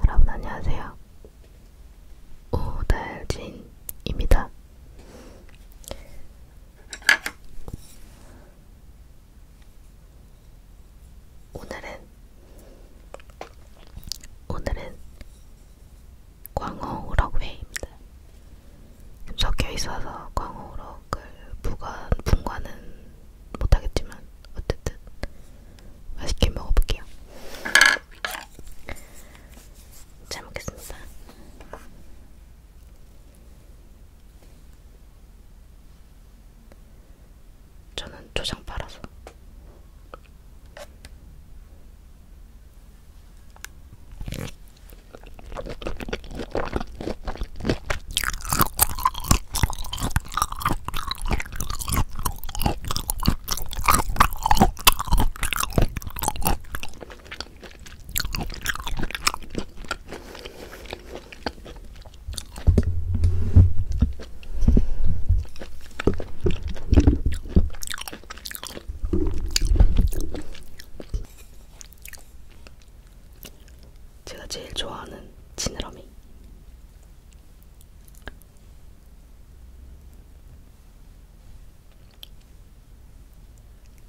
여러분 안녕하세요. 오달진입니다. 오늘은 오늘은 광어우럭회입니다. 적혀 있어서 광어우럭을 부관 분관은 못하겠지만 어쨌든 맛있게 먹어볼게요. 잘 먹겠습니다. 저는 초장 팔아서. 제가 제일 좋아하는 지느러미.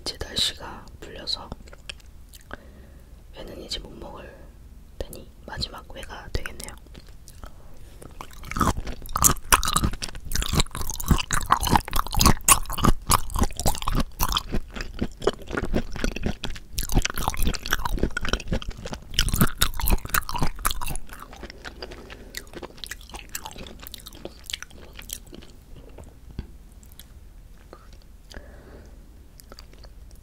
이제 날씨가 풀려서 회는 이제 못 먹을 테니 마지막 회가 되겠네요.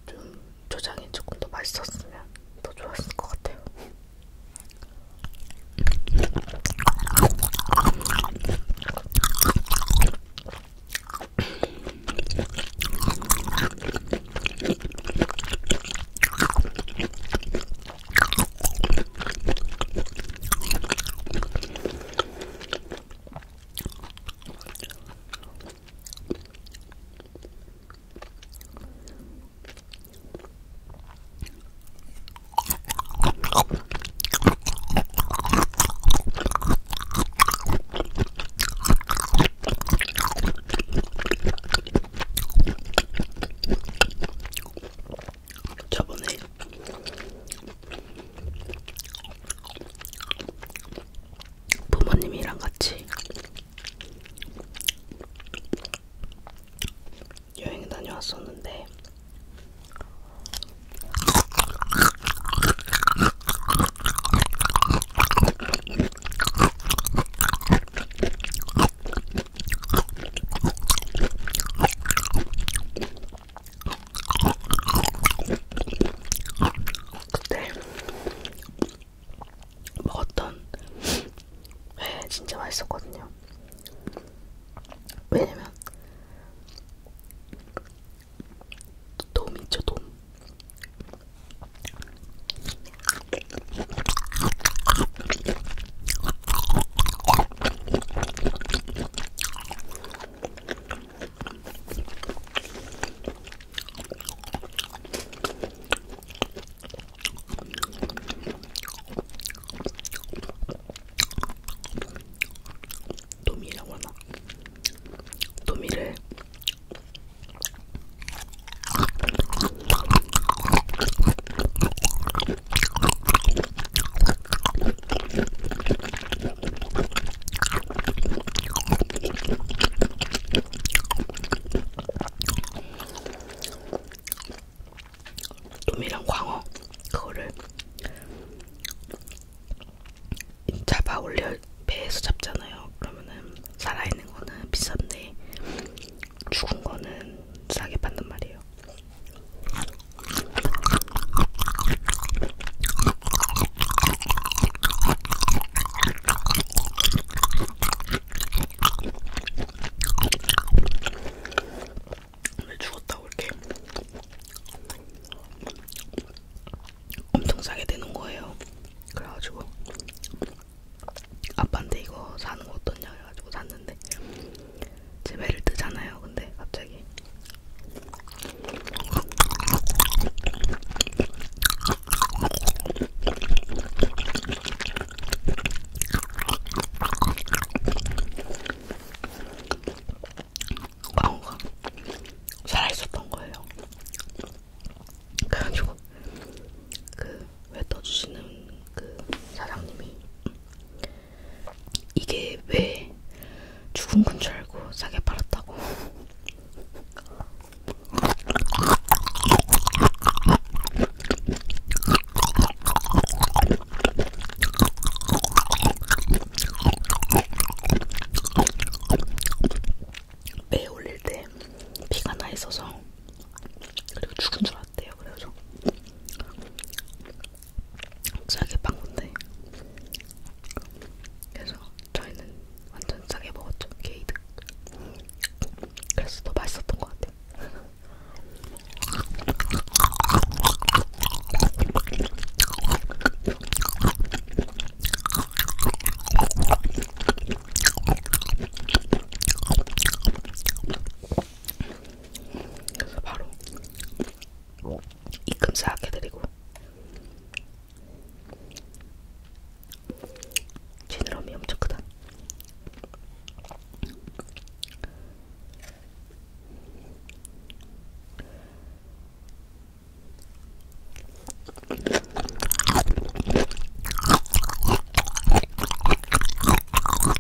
좀 조장이 조금 더 맛있었으면 더 좋았을 것 같아요. 저번에 부모님이랑 같이 여행 다녀왔었는데 그때 먹었던 회 진짜 맛있었거든요. 왜냐면 돔 있죠 돔. 도미라고 하나? 도미를 돔이랑 광어 그거를 잡아 올려 배에서 잡잖아요. 그러면은 살아있는 거는 비싼데 죽은 거는 싸게 받는 말이에요. 왜 죽었다고 이렇게 엄청 싸게 되는 거예요. 그래가지고 아빠한테 이거 사는 거 어떠냐 해가지고 샀는데 제 배를 뜨잖아요. 근데 갑자기 광우가 살아 있었던 거예요. 그래가지고 그왜 떠주시는 그 사장님이 이게 왜 죽은 건줄 알고 싸게 팔았다고. 매 올릴 때 피가 나 있어서 그리고 죽은 줄 알았대요. 그래서 싸게 방문데 그래서 저희는 완전 싸게 먹었죠 게이드 그래서 더 맛있었던 것 같아요 그래서 바로 뭐, 입금 싹 해드리고 지느러미 엄청 크다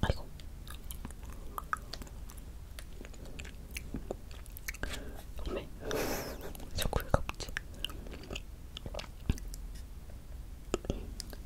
아이고. 왜? 자꾸 왜 갑지?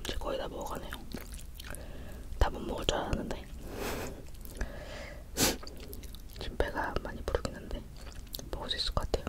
이제 거의 다 먹어가네요. 다 못 먹을 줄 알았는데 지금 배가 많이 부르긴 한데 먹을 수 있을 것 같아요.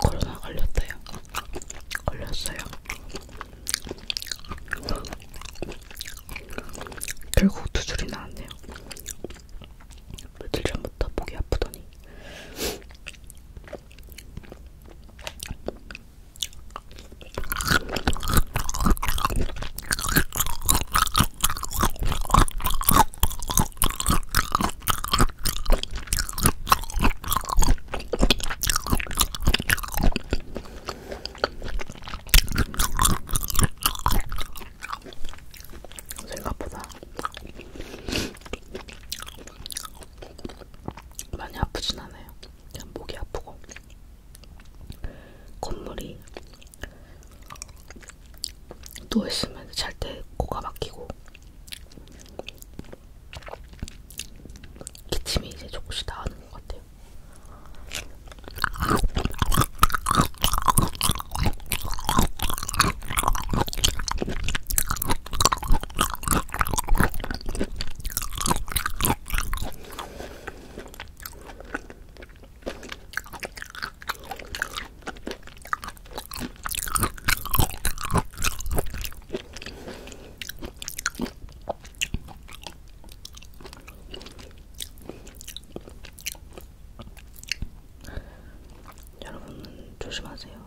코로나 걸렸대요. 걸렸어요. 결국 두 줄이 나왔네요. 며칠 전부터 목이 아프더니 생각보다 많이 아프진 않아요. 그냥 목이 아프고 콧물이 누워있으면 잘 때 코가 막히고 기침이 이제 조금씩 나오는 것 같아요. 여러분 조심하세요.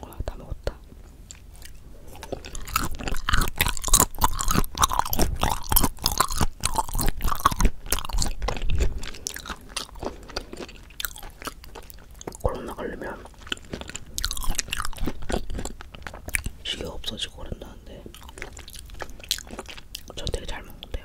와, 다 먹었다. 코로나 걸리면 시계 없어지고 그런다는데 저 되게 잘 먹는데요.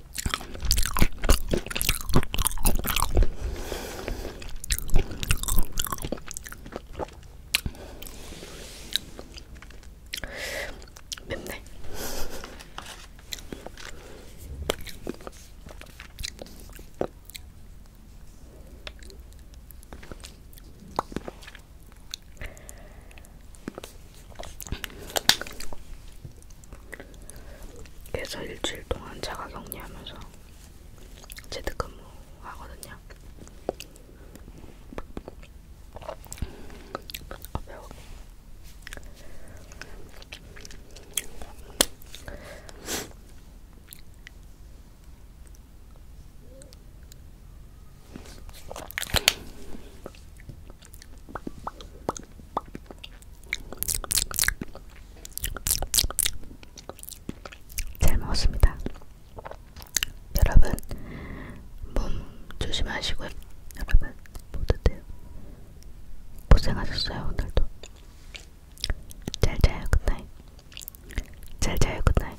맵네. 그래서 일주일 동안 자가 격리하면서 재택근무 하거든요. 아, 배워. 잘 먹었습니다. 여러분 몸 조심하시고 여러분 모두들 고생하셨어요 오늘도. 잘 자요 굿나잇. 잘 자요 굿나잇.